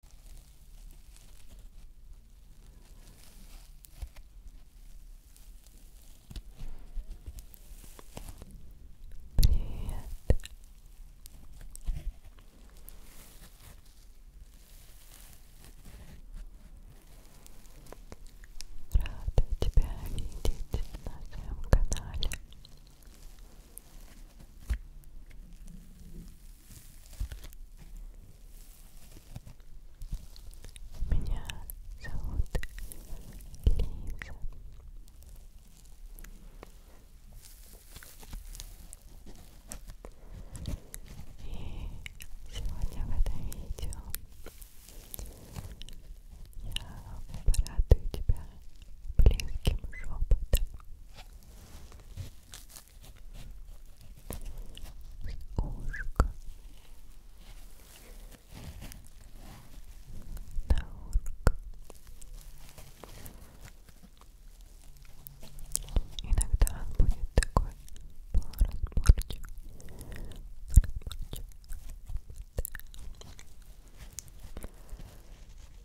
Привет. Рада тебя видеть на своем канале. Меня зовут Лиза. И сегодня в этом видео я порадую тебя близким шепотом ушко на урк. Иногда он будет такой полуразборчик, полуразборчик. Да.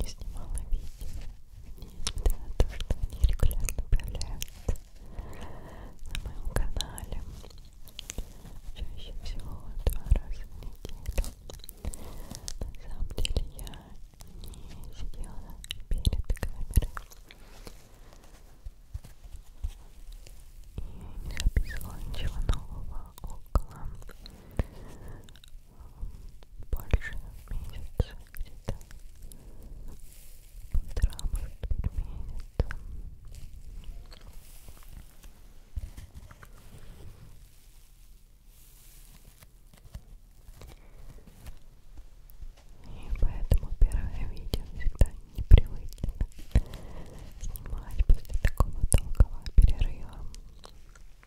не снимала видео, несмотря на то, что они регулярно появляются на моем канале. Чаще всего два раза в неделю. На самом деле я не сидела перед камерой и не записывала ничего нового около больше месяца где-то полтора, может быть, месяца и поэтому первое видео всегда непривычно снимать после такого долгого перерыва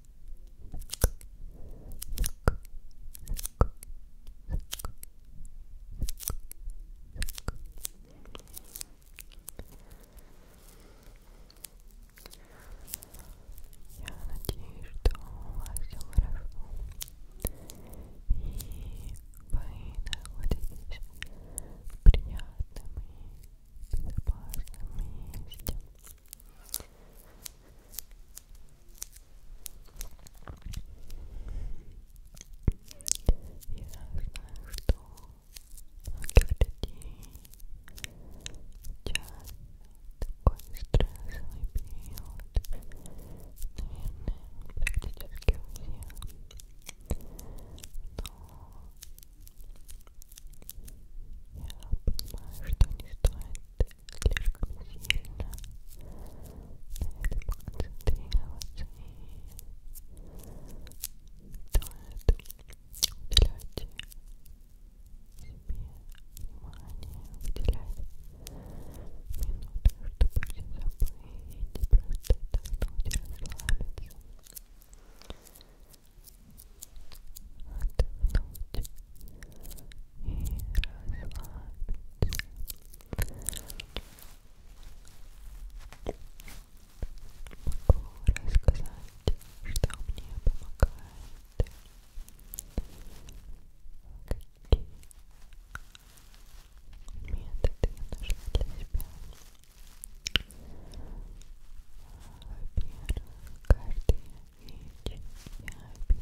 Я надеюсь, что у вас все хорошо. И вы находитесь в приятном и безопасном месте знаю, что многих людей сейчас такой стрессовый период, наверное, практически у всех, но я понимаю, что не стоит слишком сильно на этом концентрироваться и стоит уделять себе внимание, уделять минуты, чтобы все забыть и просто отдохнуть и расслабиться отдохнуть, Могу рассказать, что мне помогает, какие методы я нашла для себя. Во-первых, каждый ведь я без списка того, что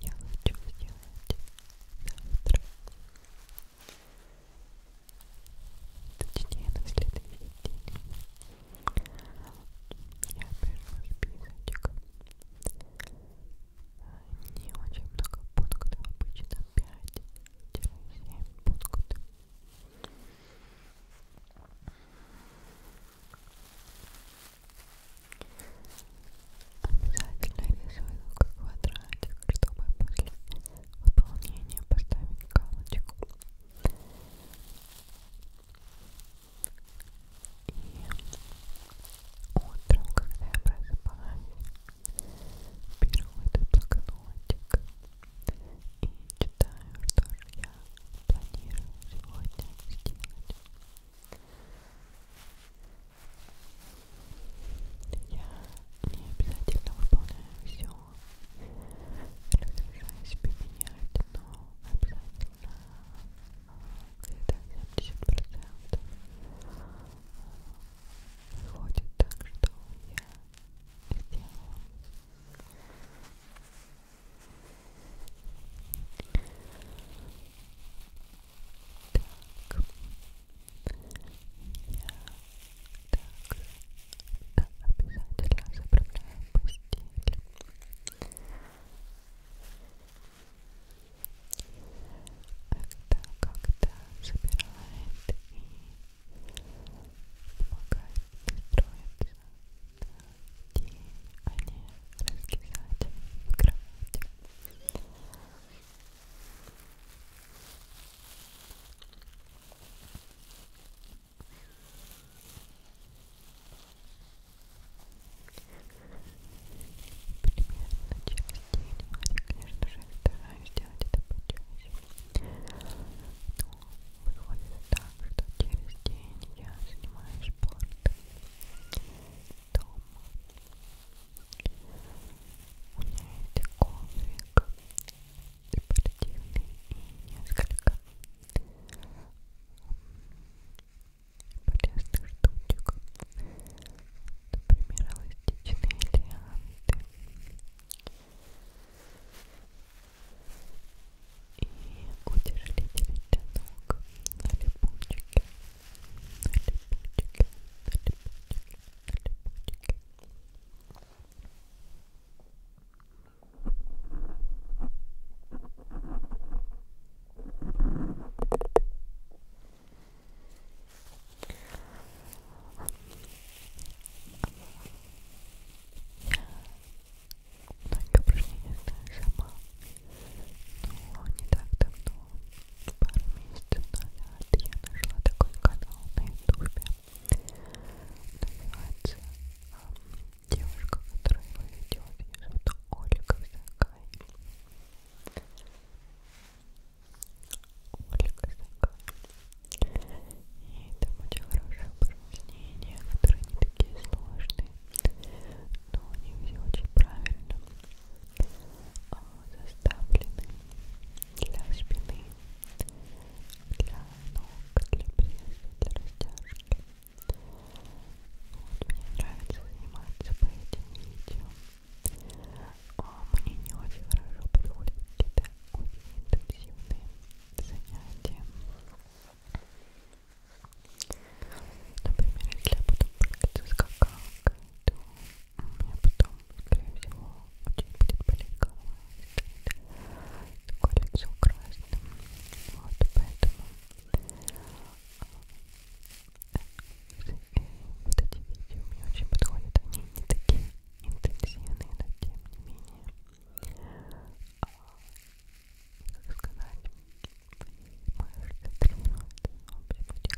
я хочу сделать завтра. Точнее, на следующий день. Я пишу списочек. Не очень много пунктов, обычно 5-7 пунктов. Обязательно рисую квадратик, чтобы после выполнения поставить галочку. И утром, когда я просыпаюсь, беру этот блокнотик и читаю, что же я планирую сегодня сделать. Я не обязательно выполняю все, разрешаю себе менять, но обязательно где-то 70% выходит так, что я сделала. Так. Я так обязательно заправляю постель. Это когда собирает и помогает строить а не раскисать в кровати. Примерно через день, я, конечно же, стараюсь делать это почаще, но выходит так, что через день я занимаюсь спортом дома. У меня есть коврик спортивный и несколько полезных штучек. Например, эластичные лианты и удержите ног на липучке, на липучке, на липучке, на липучке. Многие упражнения знаю сама, но не так давно, пару месяцев назад, я нашла такой канал на ютубе, называется э, девушка, которая его ведет, ее зовут Ольга Сакай. Ольга Сакай. И там очень хорошие упражнения, которые не такие сложные, но они все очень правильно а, заставлены для спины, для ног, для пресса, для растяжки. Вот, мне нравится заниматься по этим видео. А мне не очень хорошо подходят какие-то очень интенсивные занятия. Например, если я буду прыгать с какалкой, то у меня потом, скорее всего, очень будет болеть голова. Такое лицо красное. Вот, поэтому а, вот эти видео мне очень подходят. Они не такие интенсивные, но тем не менее сказать понимаю, что три минуты, но все будет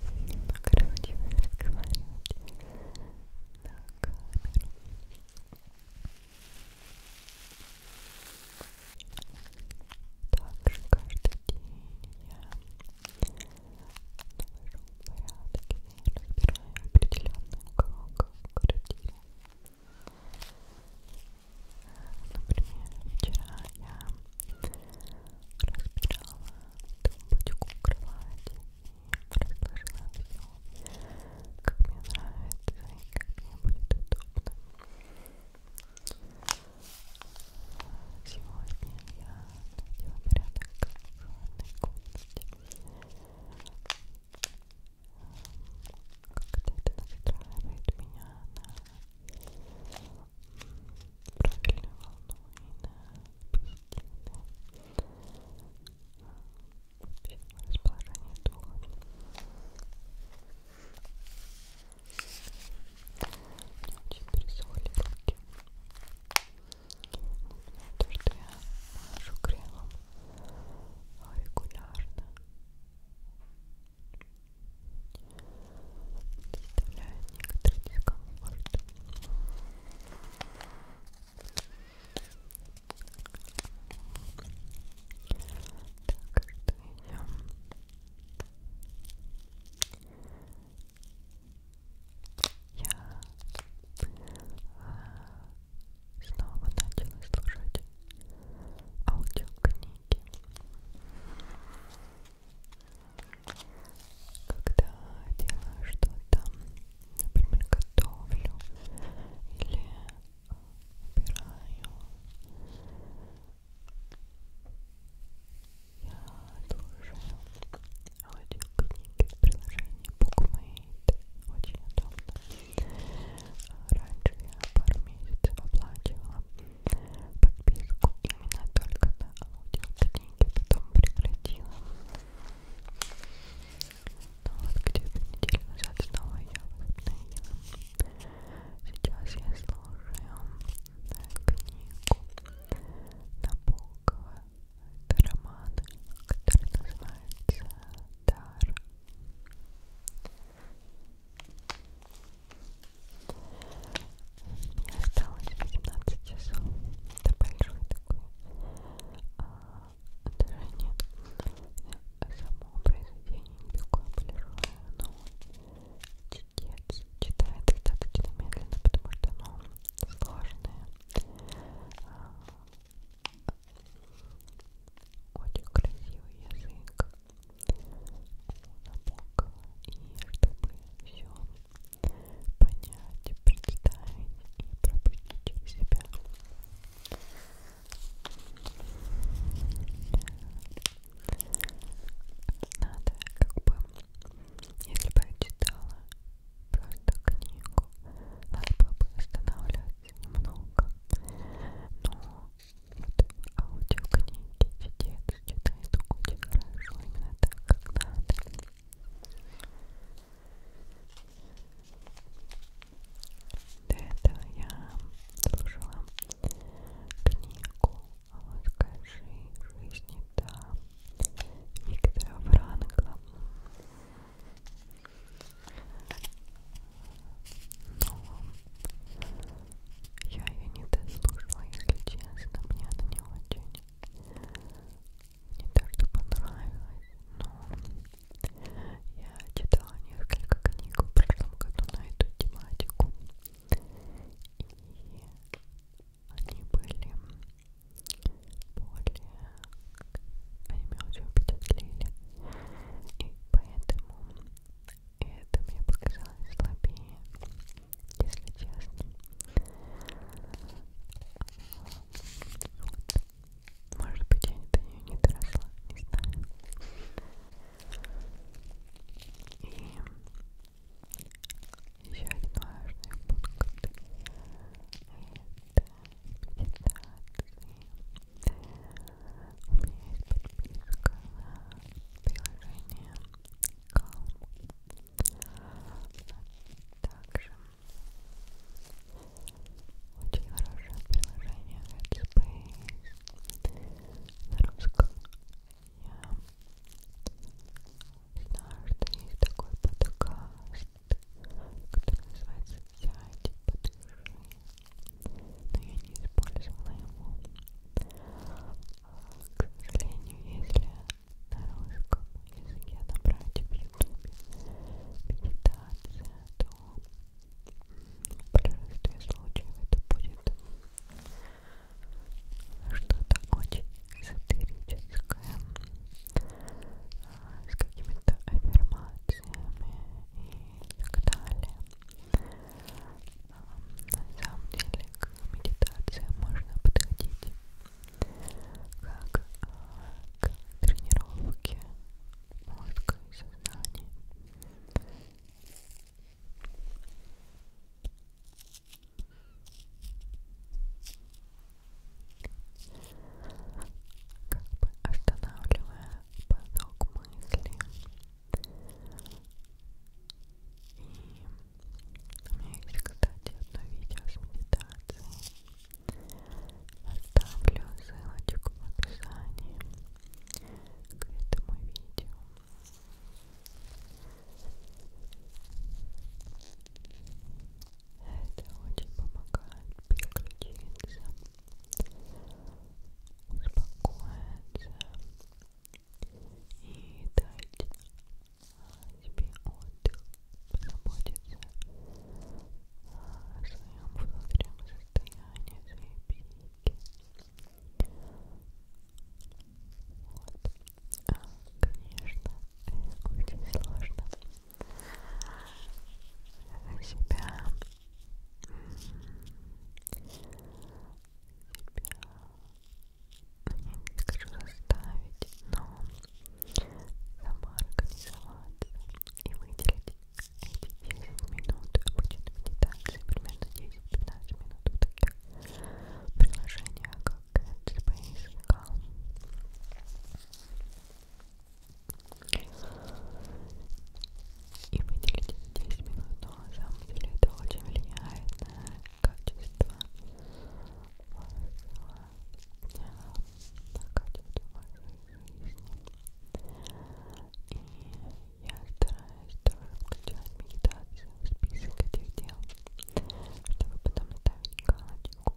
хорошо немного разучилась разговаривать на камеру также каждый день я навожу порядок я разбираю определенный уголок квартиры Например, вчера я разбирала тумбочку кровати и разложила все, как мне нравится и как мне будет удобно. Сегодня я надела порядок в ванной комнате. Как-то это настраивает меня на правильную волну и на позитивное расположение духа. Мне очень пересохли руки. Не знаю, то, что я машу кремом регулярно доставляет некоторый дискомфорт так что идем я э, снова начала слушать аудиокниги. Когда делаю что-то, например, готовлю или убираю, я слушаю аудиокниги в приложении BookMate. Очень удобно. Раньше я пару месяцев оплачивала подписку именно только на аудиокниги, потом прекратила. Но ну вот где-то неделю назад снова я возобновила. Сейчас я слушаю э, книгу Набокова. Это роман, который называется дар. Мне осталось 18 часов. Это большой такой а, даже нет. Само произведение не такое большое, но чтец читает достаточно медленно, потому что оно ну, сложное. А, очень красивый язык у Набокова. И чтобы все понять, представить и пропустить через себя, надо как бы, если бы я читала просто книгу, надо было бы останавливаться немного, но вот аудиокниги, чтец читает очень хорошо, именно так, как надо. До этого я слушала книгу «Расскажи жизни» да, Виктора Франкла. Но я ее не дослушала, если честно, мне она не очень не так что понравилась, но я читала несколько книг в прошлом году на эту тематику, и они были более они меня очень впечатлили и поэтому это мне показалось слабее если честно вот. может быть я до нее не доросла, не знаю и еще один важный пункт это медитации у меня есть подписка на приложение Calm. Также очень хорошее приложение Headspace на русском. Я знаю, что есть такой подкаст, который называется «Сядь, подыши» но я не использовала его. А, к сожалению, если на русском языке набрать в ютубе медитация, то в большинстве случаев это будет что-то очень эзотерическое а, с какими-то аффирмациями и и так далее. Эм, на самом деле к медитации можно подходить как э, к тренировке мозга и сознания. Как бы останавливая поток мыслей. И у меня есть, кстати, одно видео с медитацией. Оставлю ссылочку в описании к этому видео. Это очень помогает переключиться успокоиться и дать себе отдых, позаботиться о своем внутреннем состоянии, о своей психике. Вот. А, конечно, очень сложно себя я не скажу заставить, но сама организоваться и выделить эти 10 минут обычной медитации, примерно 10-15 минут в таких приложениях, как Headspace, Calm и выделите 10 минут, но на самом деле это очень влияет на качество вашего дня, на качество вашей жизни. И я стараюсь тоже включать медитацию в список этих дел, чтобы потом ставить галочку. Как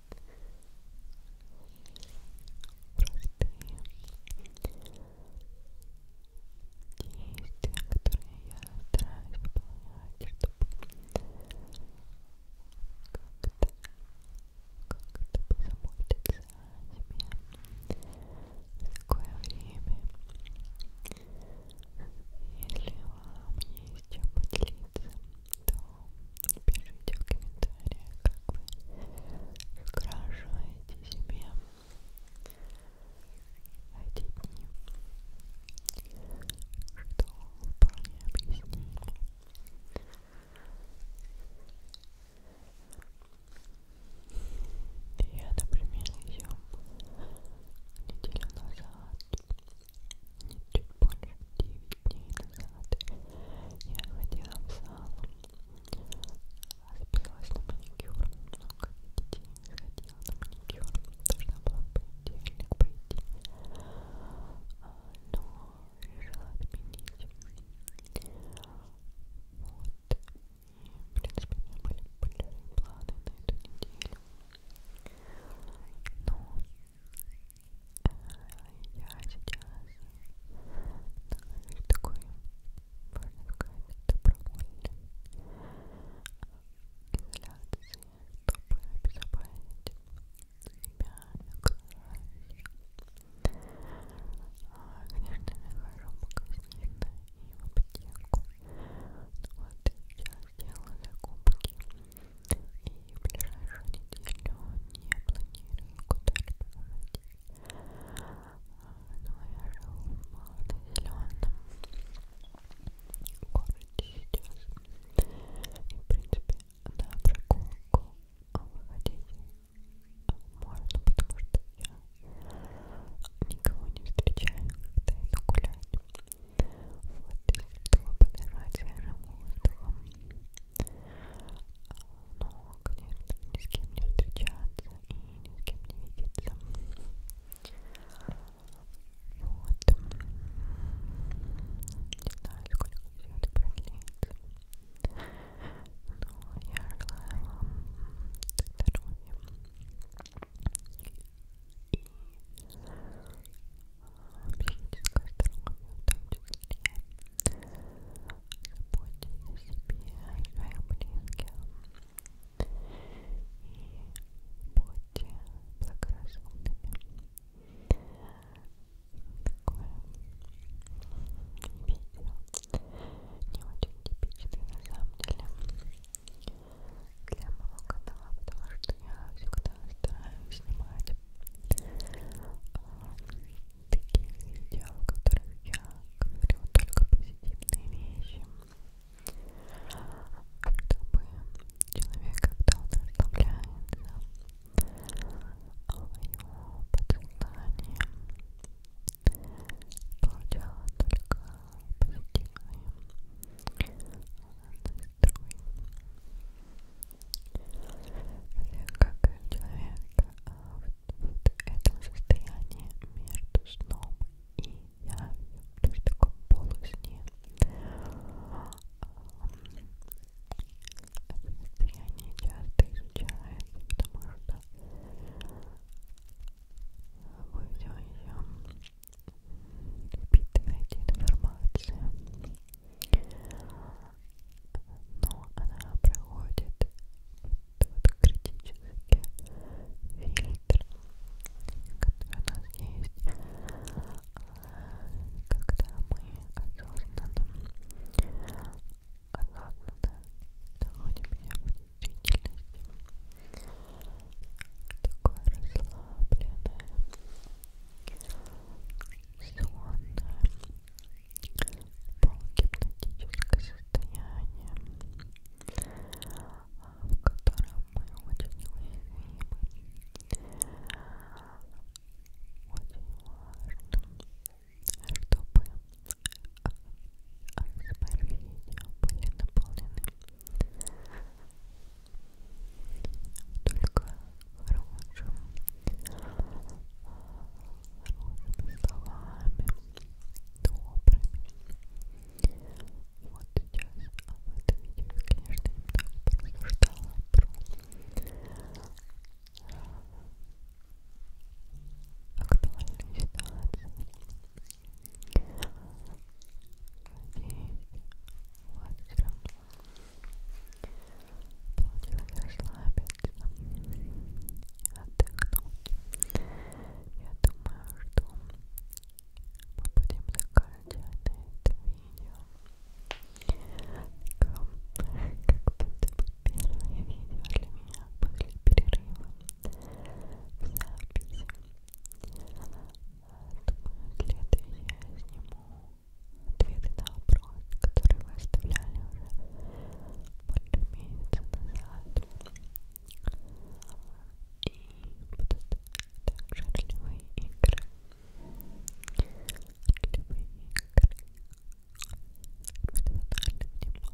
действия, которые я стараюсь выполнять, чтобы как-то как-то позаботиться о себе в такое время. Если вам есть чем поделиться, то пишите в комментариях, как вы украшиваете себе эти дни, что вполне объяснимо. Я, например, еще неделю назад, чуть больше 9 дней назад, делать. Я ходила в зал, записалась на маникюр, но, как видите, не сходила на маникюр, должна была в понедельник пойти, но решила отменить. Вот, и, в принципе, у меня были большие планы на эту неделю, но я сейчас становлюсь такой, можно сказать, добровольной изоляции, чтобы обезопасить себя и окружающих. А, конечно, я хожу в магазин да, и в аптеку. Но вот сейчас делаю закупки. И в ближайшую неделю не планирую куда-либо уйти. Но я живу в малозеленом городе сейчас. И, в принципе, на прогулку выходить можно, потому что я никого не встречаю, когда иду гулять. Вот, если кто подорвать, я живу в но, конечно, ни с кем не встречаться и ни с кем не видеться. Вот. Не знаю, сколько все это продлится. Но я желаю вам здоровья. И психическое здоровье в том числе. Заботьтесь о себе и своих близких. И будьте благоразумными. Такое видео не очень типичное на самом деле для моего канала, потому что я всегда стараюсь снимать а, таких видео, в которых я говорю только позитивные вещи, чтобы человек, когда он расслабляется, а его подсознание получало только позитивные настрой как человек в этом состоянии между сном и явью, то есть в таком полусне, это состояние часто изучается, потому что вы все еще впитываете информацию но она проходит тот критический фильтр, который у нас есть, когда мы осознанно, осознанно доводим себя в действительности, такое расслабленное сонное, полугипнотическое состояние, в котором мы очень уязвимы. Очень важно, чтобы АСМР-видео были наполнены только хорошим, а, хорошими словами, добрыми. Вот сейчас об этом видео я, конечно, немного просуждала про актуальную ситуацию. Надеюсь, у вас все равно Плотно расслабиться, отдохнуть. Я думаю, что мы будем заканчивать на это видео. Как, как будто бы первое видео для меня после перерыва записи. Думаю, следующее я сниму ответы на вопросы вопрос, который вы оставляли уже больше месяца назад. И будут также ролевые игры. Ролевые игры. Персональное внимание. Покажите мне волос.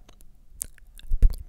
Пока-пока.